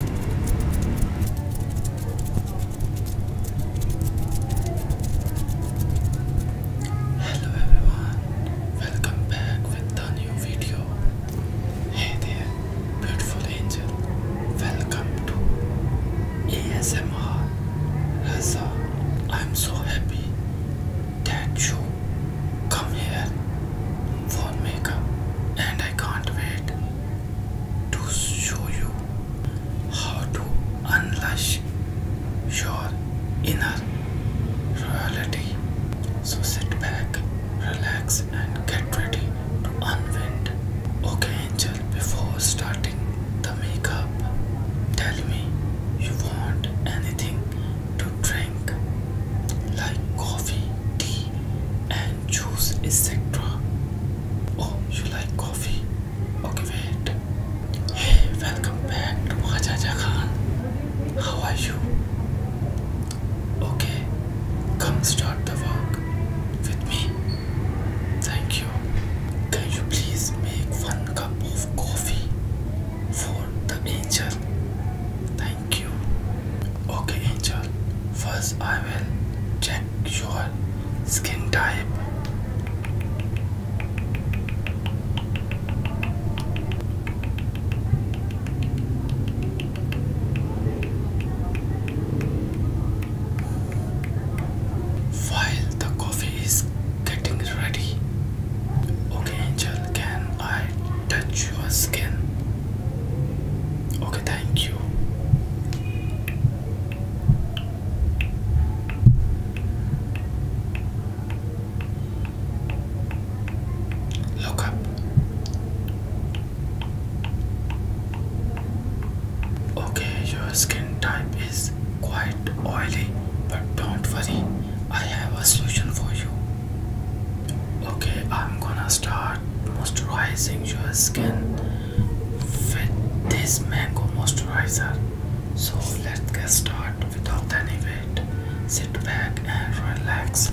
Hello everyone, welcome back with a new video. Hey there, beautiful angel, welcome to ASMR Raza. I'm so happy that you come here for makeup and I can't wait to show you how to unleash your inner reality, So sit back, relax, and get ready to unwind. Okay, Angel, before starting the makeup, tell me you want anything to drink like coffee, tea, juice, etc. Oh, you like coffee? Okay, wait. Hey, welcome back to Majaja Khan. How are you? Okay, come start the work with me. Thank you. Can you please make one cup of coffee for the angel? Thank you. Okay, Angel. First, I will check your skin type. While the coffee is getting ready, okay, Angel, can I touch your skin? Okay, thank you. Look up. Okay, your skin type is quite oily, but don't worry, I have a solution for you. Okay, I'm gonna start moisturizing your skin with this mango moisturizer. So let's get started without any wait. Sit back and relax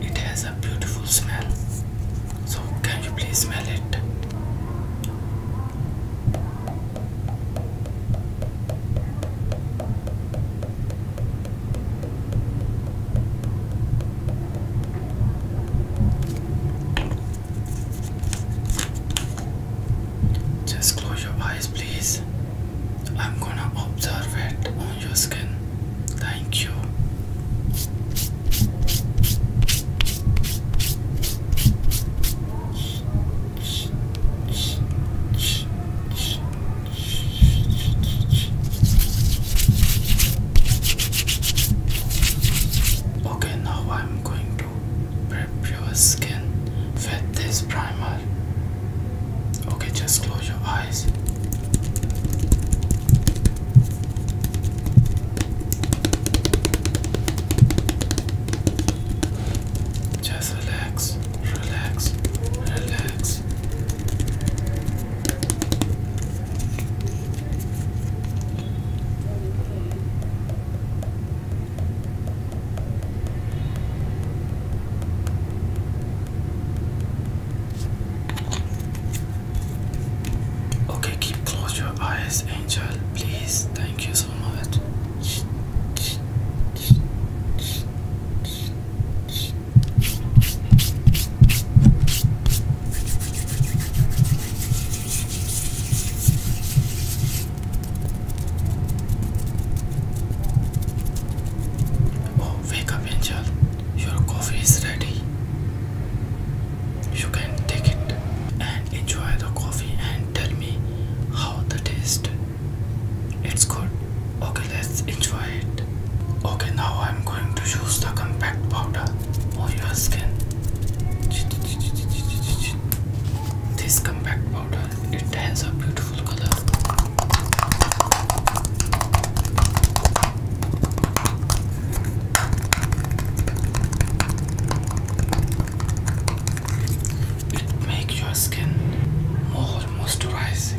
it has a beautiful smell. So, can you please smell it? Just close your eyes, please. I'm gonna observe it on your skin. Thank you. Okay, now I'm going to prep your skin with this primer. Okay, just close your eyes. Just relax, relax, relax. Okay, keep close your eyes, Angel. Please, thank you so much. Oh, wake up, Your coffee is ready. You can take it and enjoy the coffee and tell me how the taste. It's good. Okay, let's enjoy it. Okay, now I'm going to use the compact powder on your skin this compact powder, it has a beautiful color. It makes your skin more moisturizing.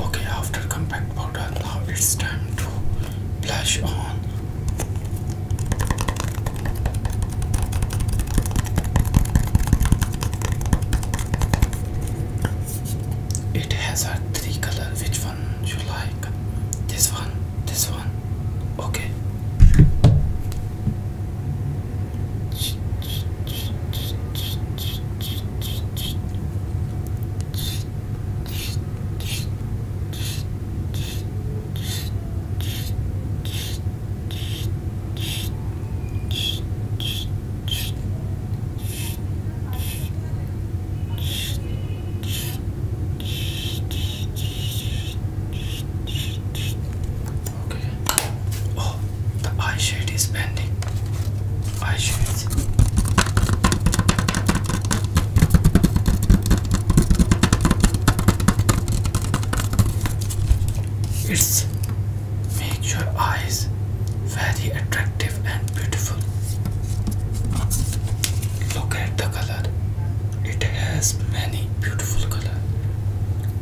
Okay, after compact powder, now it's time to blush on. It has a three color which you like? This one, this one. Okay. Okay. Oh, the eyeshade is bending. Eyeshades. It's make your eyes very attractive and beautiful. Look at the color. It has many beautiful color.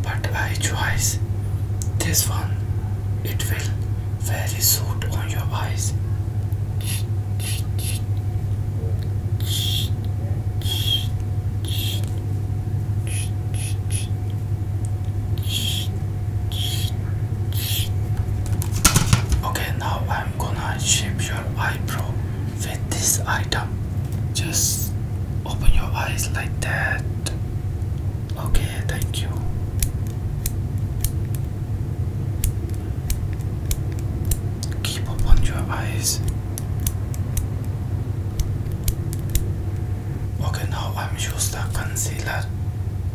But I choose this one. It will very suit on your eyes. Okay, now I'm gonna shape your eyebrow with this item. Just open your eyes like that. Okay, thank you. Keep open your eyes. Okay, now I'm using the concealer.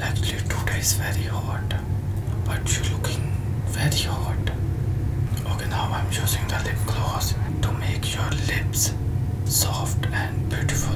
Actually, today is very hot, but you're looking very hot. Okay, now I'm using the lip gloss to make your lips soft and beautiful.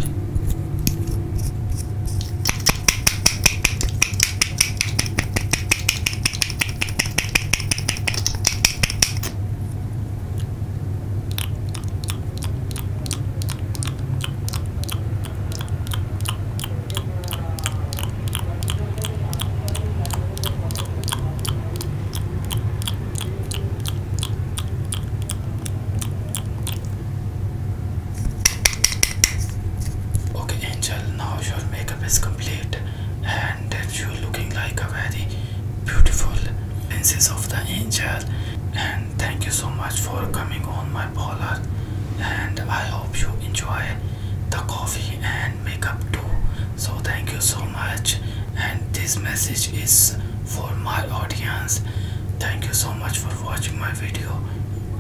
Okay, Angel, now your makeup is complete, and you're looking like a very beautiful princess of the angel. And thank you so much for coming on my baller and I hope you enjoy the coffee and makeup too. So thank you so much and this message is for my audience. Thank you so much for watching my video.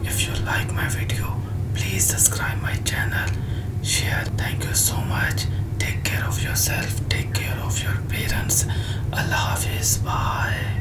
If you like my video, please subscribe my channel, share. Thank you so much. Take care of yourself. Take care of your parents. Allah Hafiz. Bye.